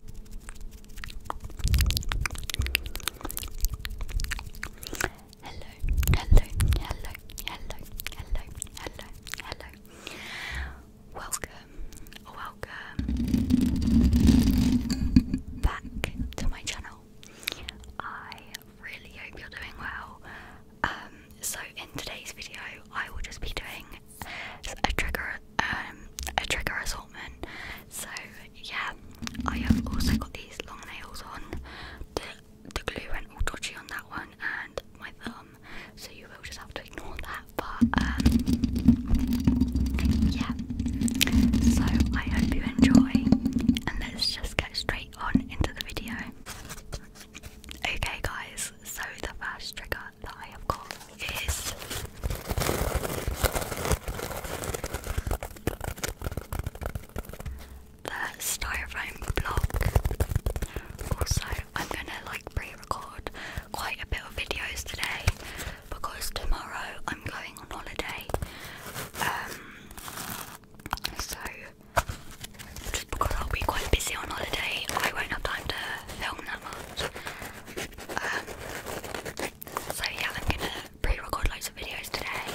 Hello, hello, hello, hello, hello, hello, hello. Welcome, welcome back to my channel. I really hope you're doing well. Um, so in today's video, I will just be doing a trigger um a trigger assortment. So yeah, I have also got these long nails on. The the glue went all dodgy on that one and my thumb, so you will just have to ignore that. But um yeah. So I hope you enjoy and let's just get straight on into the video. Okay guys, so the first trigger that I have got is the styrofoam block. Also, I'm gonna like pre-record quite a bit of videos today because tomorrow I'm going on holiday. Um, so just because I'll be quite busy on holiday, I won't have time to film that much. Um, so yeah, I'm gonna pre-record loads of videos today.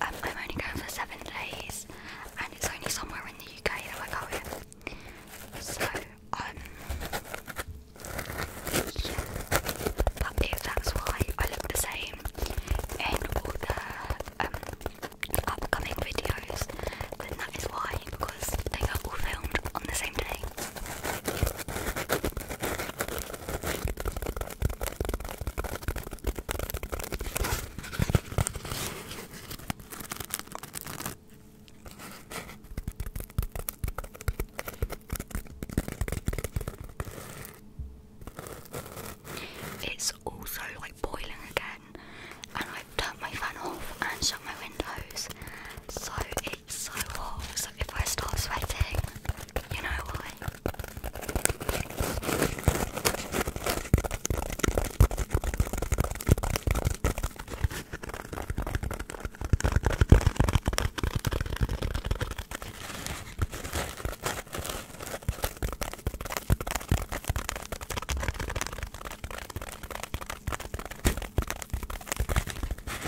Um, I'm only going for seven days, and it's only somewhere in the UK that I go in. So um, yeah. that's why I look the same in all the upcoming videos, then that is why they got all filmed on the same day. It's also like boiling again, and I've turned my fan off and shut my windows, so it so warm, so if I start sweating, you know why.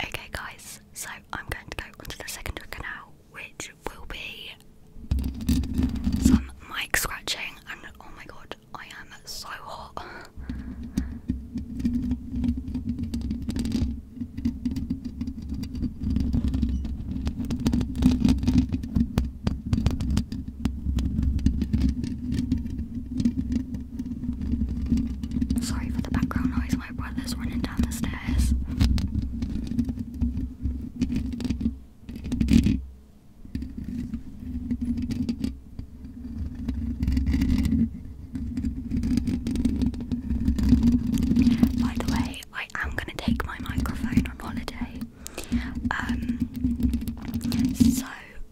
Okay, guys, so I'm going to go onto the second canal, which will be some mic scratching, and oh my god, I am so hot. Sorry for the background noise, my brother's running down the stairs. By the way, I am going to take my microphone on holiday. Um, so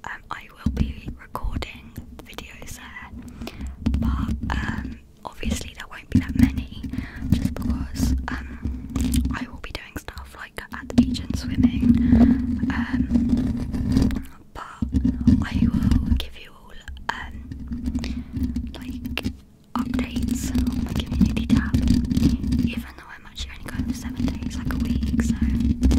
um, I will be recording videos there, but um, obviously there won't be that many, just because um, I will be doing stuff like at the beach and swimming. Um, but I will give you all um, like updates on the community tab, even though I'm actually only going for seven days, like a week, so yeah.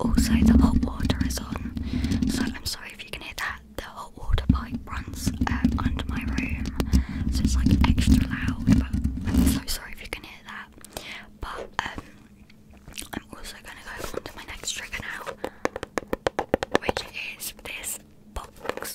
Also, the hot water is on, so I'm sorry if you can hear that. The hot water pipe runs uh, under my room, so it's like extra loud. But I'm so sorry if you can hear that. But um, I'm also gonna go on my next trigger now, which is this box.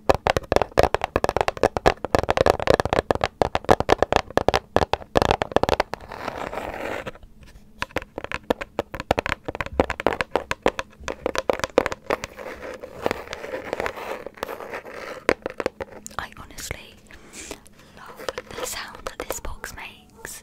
I honestly love the sound that this box makes.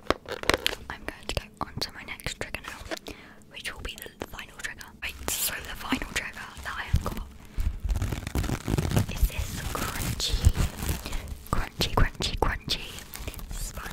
I'm going to go on my next trigger now, which will be the final trigger. Right, so the final trigger that I have got is this crunchy, crunchy, crunchy, crunchy sponge.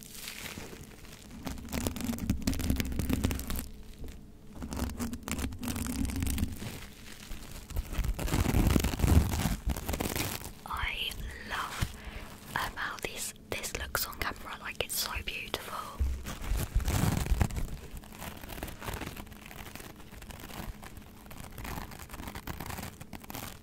I love how this this looks on camera like it's so beautiful.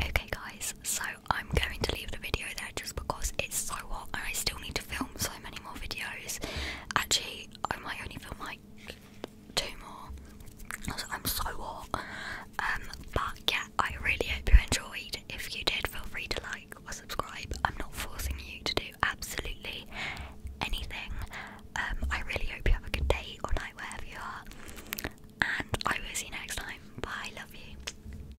Okay, guys, so I'm going to leave the video there just because it's so hot and I still need to film so many more videos. Actually, I might only film like two more. I'm so hot. Um, but yeah, I really hope you enjoyed. If you did, feel free to like or subscribe. I'm not forcing you to do absolutely anything. Um, I really hope you have a good day or night wherever you are. And I will see you next time. Bye, love you.